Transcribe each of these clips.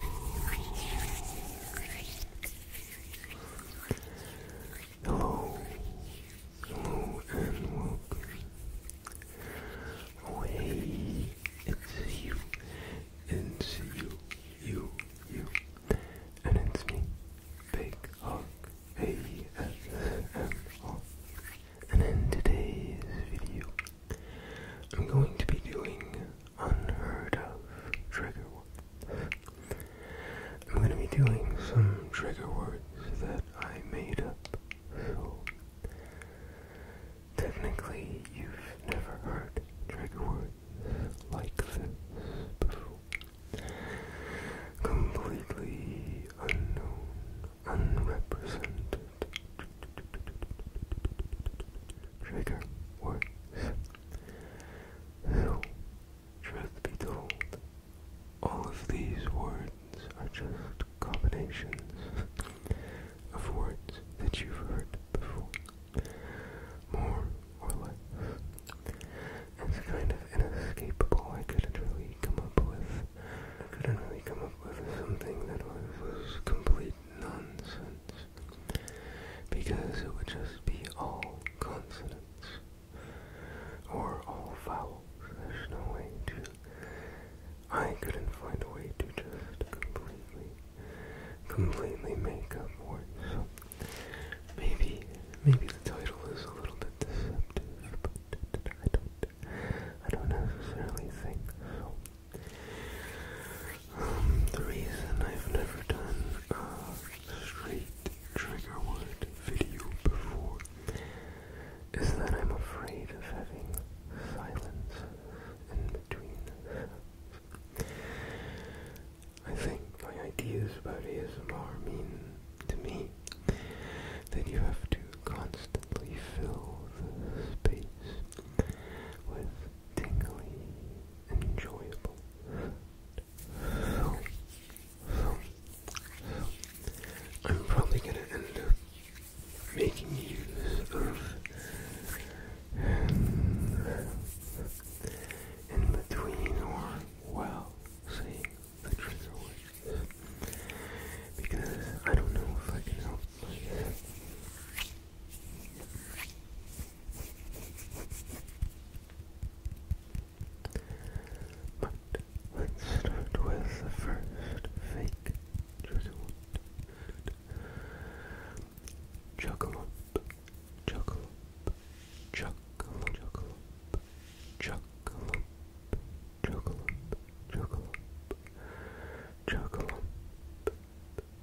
Hello, hello, hey, it's you, it's you, you, you, and it's me, Big Hawk ASMR. And in today's video, I'm going to be doing unheard of trigger words. I'm going to be doing some trigger words that I made up, so technically you've never heard trigger words like this Completely unknown, unrepresented trigger words. truth be told, all of these words are just combinations of words that you've heard before, more or less. It's kind of inescapable. I couldn't really come up with. I couldn't really come up with something that was complete nonsense because it would just be all consonants or all vowels. There's no way to. I couldn't find a way to just completely, completely make up words. maybe, maybe the title is a little bit deceptive, but I don't, I don't necessarily think so the reason I've never done a straight trigger word video before is that I'm afraid of having silence in between I think my ideas about ASMR mean to me that you have to constantly fill the space with tingly, enjoyable. So, so, so I'm probably gonna end up making use of in between or while saying the trigger words because I don't know if I can help but let's start with the first fake trigger word. Chuckle up, chuckle up, chuckle up, chuckle up,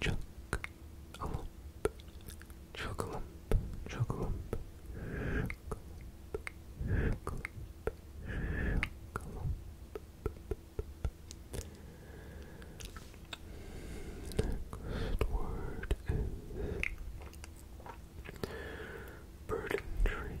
Chuck a lump, chuck lump, chuck lump, chuck lump, chuck lump. Next word is burden tree.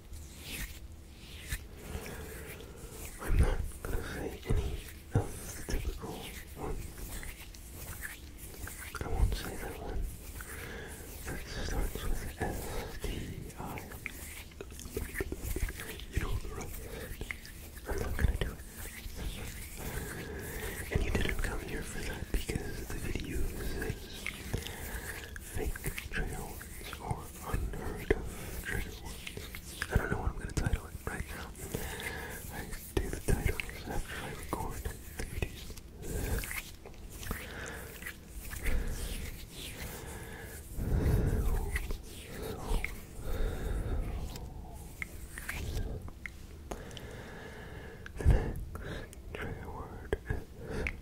I'm not going to say any of the typical ones. I won't say that one that starts with S T I. You know the rest. I'm not gonna do it. And you didn't come here for that because the video says fake trails or unheard of trigger words. I don't know what I'm gonna title it right now. I do the titles after I record the next trigger word is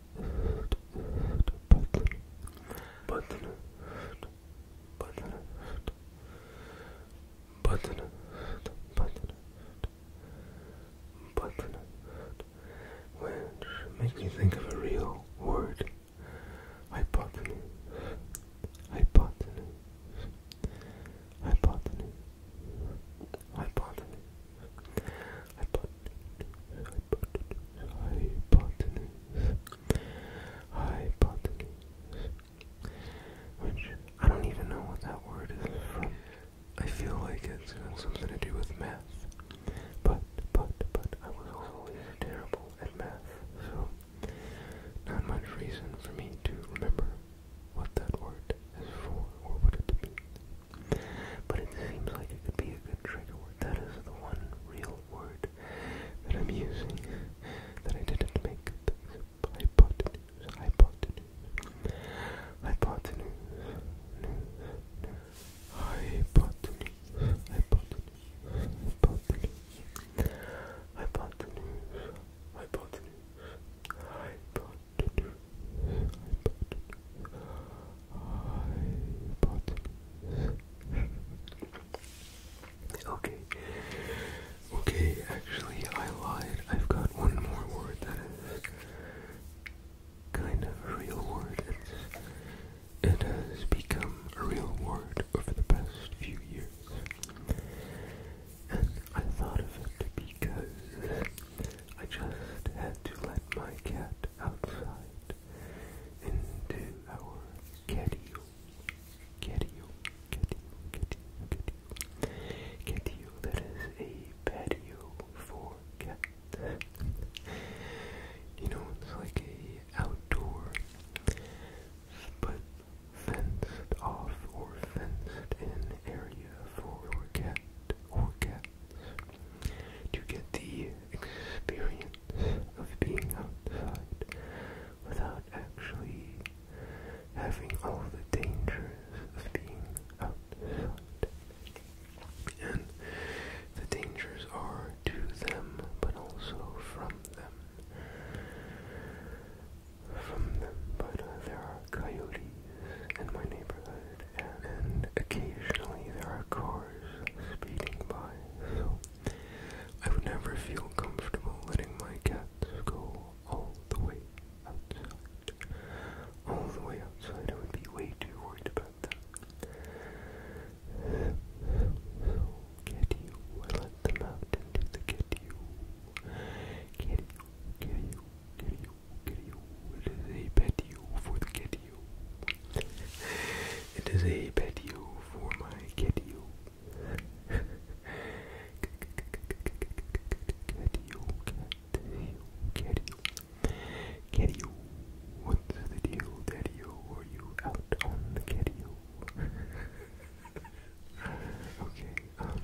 button button button button button which makes me think of a real word hypotenuse hypotenuse hypotenuse hypotenuse hypotenuse hypotenuse hypotenuse hypotenuse, which I don't even know what that word is from. I feel like it's something to do with math, but, but, but I was always terrible at math, so not much reason for me to remember what that word is for or what it means. But it seems like it could be a good trigger word. That is the one real word that I'm using that I didn't make hypotenuse, hypotenuse, hypotenuse, hypotenuse, hypotenuse, hypotenuse, hypotenuse, hypotenuse, hypotenuse, hypotenuse hypotenuse. okay. Okay, actually, I lied. I've got one more word that is kind of a real word. it has become a real word over the past few years. And I thought of it because I just had to let my cat outside into our ketule. Ketule, ketule, ketule, ketule. Ketule, that is a patio for cats. you know, it's like an outdoor, but fenced off or fenced in area for cat or cats to get the experience of being outside without actually having all the dangers of being outside. And the dangers are to them, but also from them. From them, but uh, there are coyotes in my neighborhood, and, and occasionally there are cars speeding by, so I would never feel comfortable letting my cats go all the way outside. All the way outside, I would be way too worried about them. So, get I let them out into the get you. Get you, get It is a pet for the get it is a patio for my catio. catio, catio, catio. what's the deal, daddy Are you out on the catio? okay, um,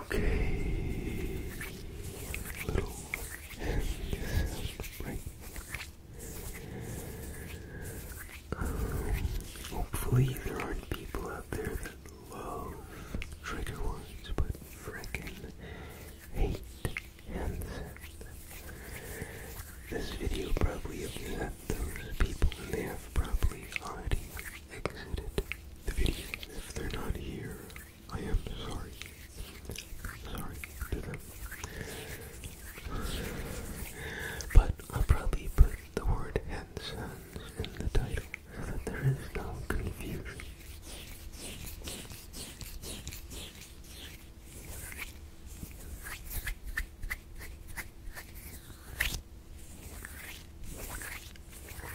okay, little hand hopefully there aren't people out there that love trigger words, but frickin' hate handset. This video probably upset those people, and they have probably already exited the video. If they're not here, I am sorry. Sorry, dinner. But I'll probably put the word Hansons in the title so that there is no confusion.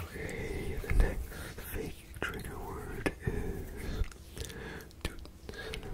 Okay, the next fake trigger word is Tootsinim.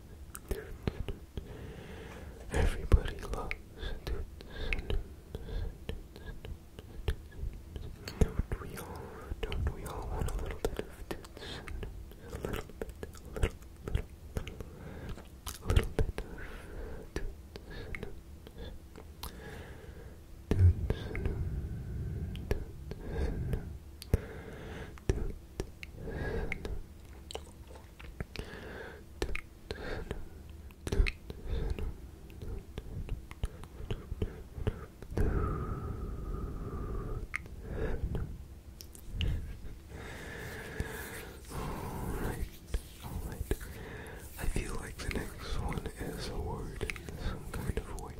Everybody loves don't we all, don't we all want a little bit of toots A little bit, a little, a little bit of Alright, alright. I feel like the next one is a word some kind of way.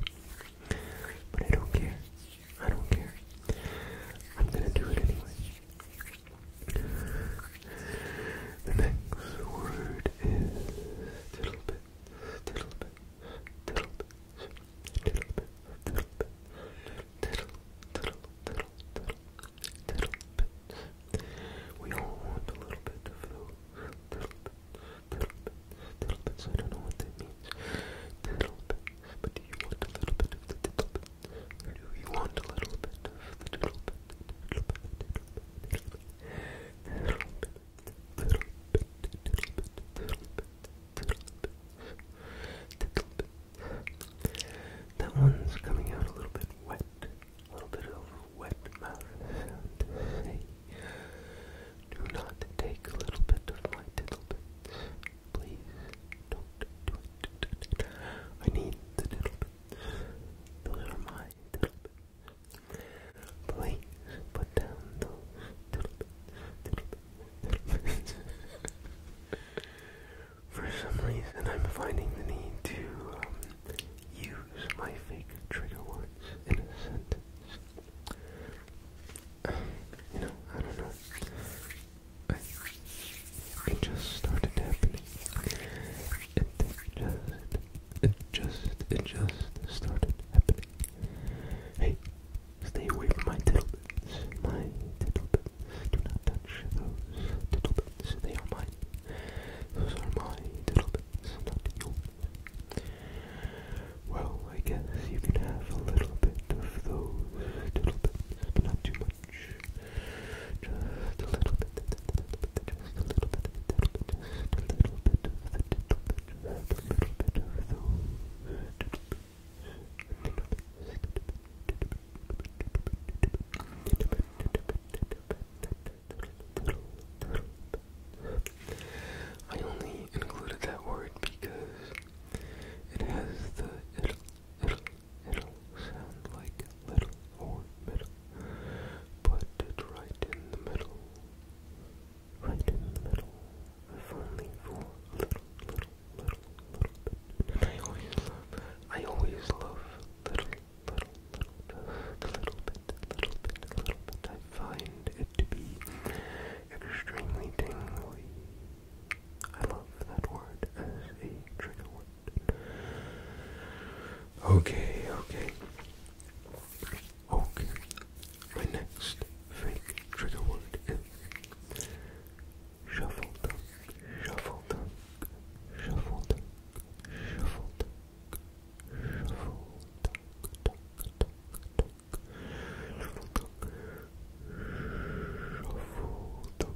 But I don't care. I don't care. I'm gonna do it anyway. The next word is tiddle bit, tiddle bit, tiddle bit, tiddle bit, tiddle bit, tiddle, tiddle, tiddle, tiddle, bit. We all want a little bit of those. Tiddle bit, tiddle bit, tiddle bits. I don't know what that means. Tiddle bit, do you want a little bit of the little do you want a little bit of the little bit? Little bit, little bit, little bit, little bit, little bit, little bit, little bit, That one's coming out a little bit wet. A little bit of wet mouth do not take a little bit of my tittle Please don't do it. I need the little bit. Those are my Please put down those For some reason, I'm finding the need to um, use my fake trigger words in a sentence. you know, I don't know it just started happening. It just, it just, it just started happening. Hey, stay away from my tittle My tittle Do not touch those tittle They are mine. Those are my tittle not yours. Well, I guess you can have a little bit of those tittle but not too much. Just a little bit, I only included that word because it has the it'll sound like little or middle. Put it right in the middle. Right in the middle. If only for a little, little, little, little bit. I always love, I always love little, little, little, little bit, little bit, little bit. I find it to be extremely tingly. I love that word as a trigger word. Okay, okay. Okay. My next fake trigger word is shuffle duck, shuffle duck, shuffle duck, shuffle duck, shuffle duck, duck, duck, duck, shuffle duck, shuffle duck.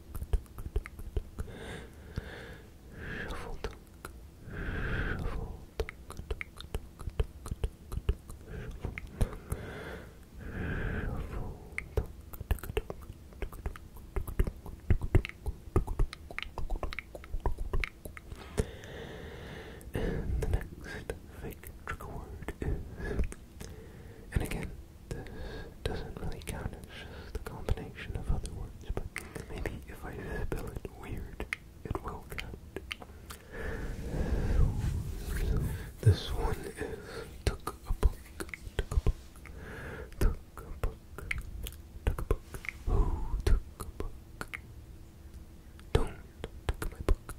Shuffle shuffle And the next fake trigger word and again, this doesn't really count as just the combination of other words, but maybe if I spell it weird, it will count. this one is took a book, took a book, took a book, took a book, who took a book? Don't took my book,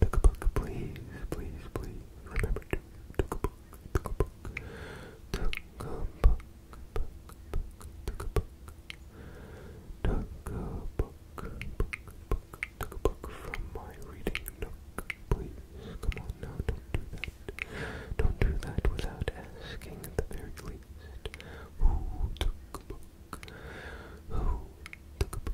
took a book, please, please, please, remember to took a book. Took a book from my reading nook. Please, come on now, don't do that. Don't do that without asking at the very least. Who took a book? Who took a book?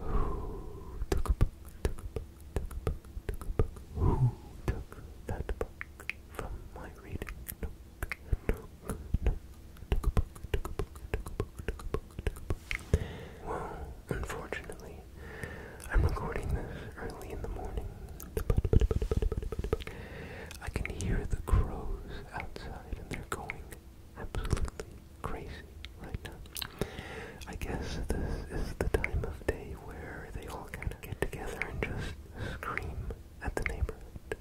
Who took a book, took a book, took a book, took a book? Who took that book from my reading took a book, took a book, took a book, took a book, took a book. Well, unfortunately, I'm recording this early in the morning. I can hear the crows outside and they're going absolutely crazy. I guess this is the time of day where they all kind of get together and just scream at the neighborhood,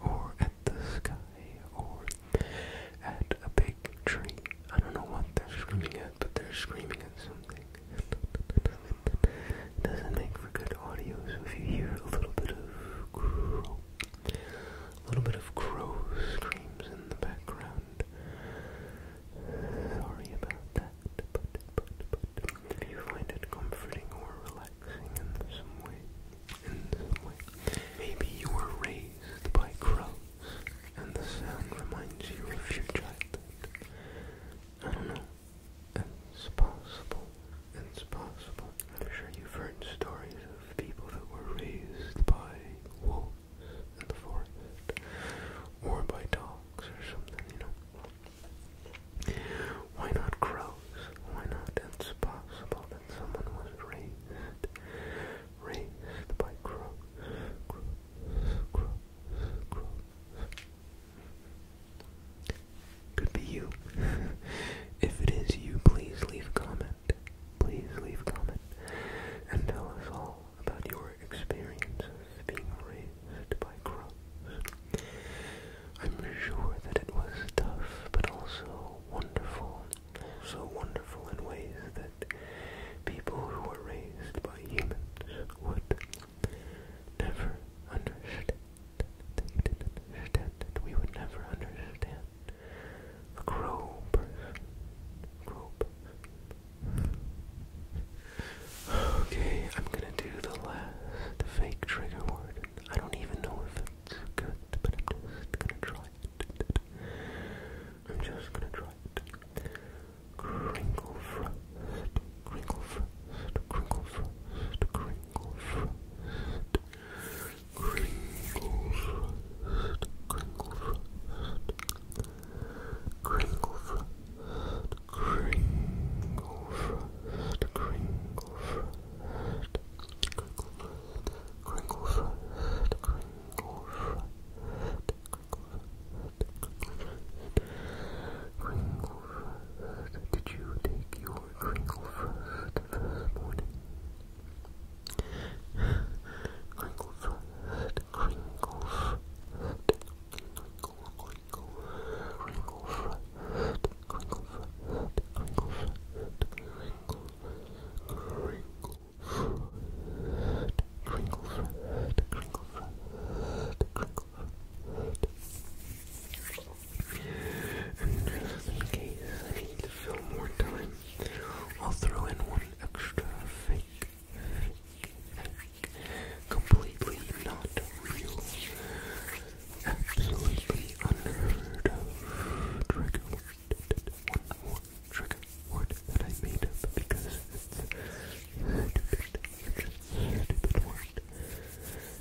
or at the sky, or at a big tree. I don't know what they're screaming at, but they're screaming at something. Doesn't make for good audio, so if you hear a little bit of a little bit of crow screams in the background, Sorry about that, but, but, but if you find it comforting or relaxing in some way, in some way, maybe you were raised by crows and the sound reminds you of your childhood. I don't know. It's possible. It's possible. I'm sure you've heard stories of people that were raised by wolves in or by dogs or something, you know. Why not crows? Why not? It's possible that someone was raised, raised by crows, crows, crows, crows. Could be you. if it is you, please leave comment. Please leave comment and tell us all about your experiences being raised by crows. I'm sure that it was tough, but also wonderful. Also wonderful in ways that people who were raised by humans would never understand. We would never understand Crow person. Okay, I'm gonna do the last fake trigger word. I don't even know if it's good, but I'm just gonna try it. I'm just gonna try it. crinkle frost, crinkle frost, crinkle frost, crinkle frost, crinkle frost, crinkle frost, Kringle Frost, Kringle Frost, Kringle Frost, Kringle Frost, Kringle Frost, Kringle Frost, Kringle Frost. Did you take your Kringle Frost this morning? Crinkle Frost, Crinkle Frost, and just in case I need to fill more time, I'll throw in one extra fake Completely not real. Absolutely unheard of. Trigger word. that I made up because it's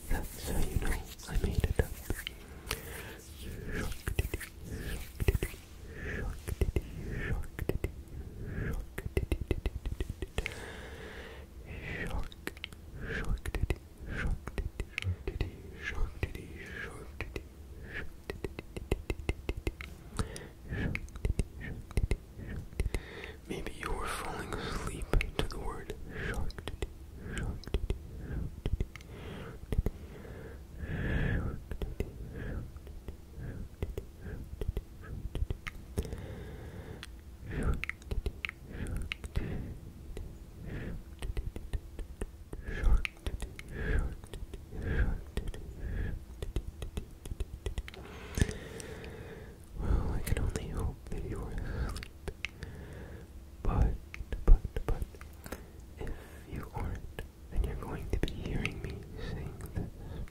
That's how you know I made it up. Shark, shark Maybe you were falling asleep to the word shark well, I can only hope that you were asleep. But, but, but, if you aren't, then you're going to be hearing me saying this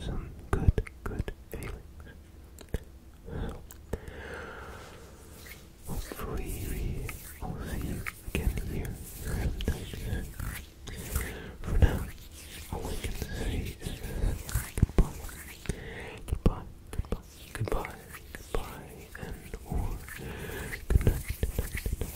some good, good feelings. So, hopefully we all see again here For now, all I can say is goodbye, goodbye, goodbye, goodbye, goodbye, and or good night.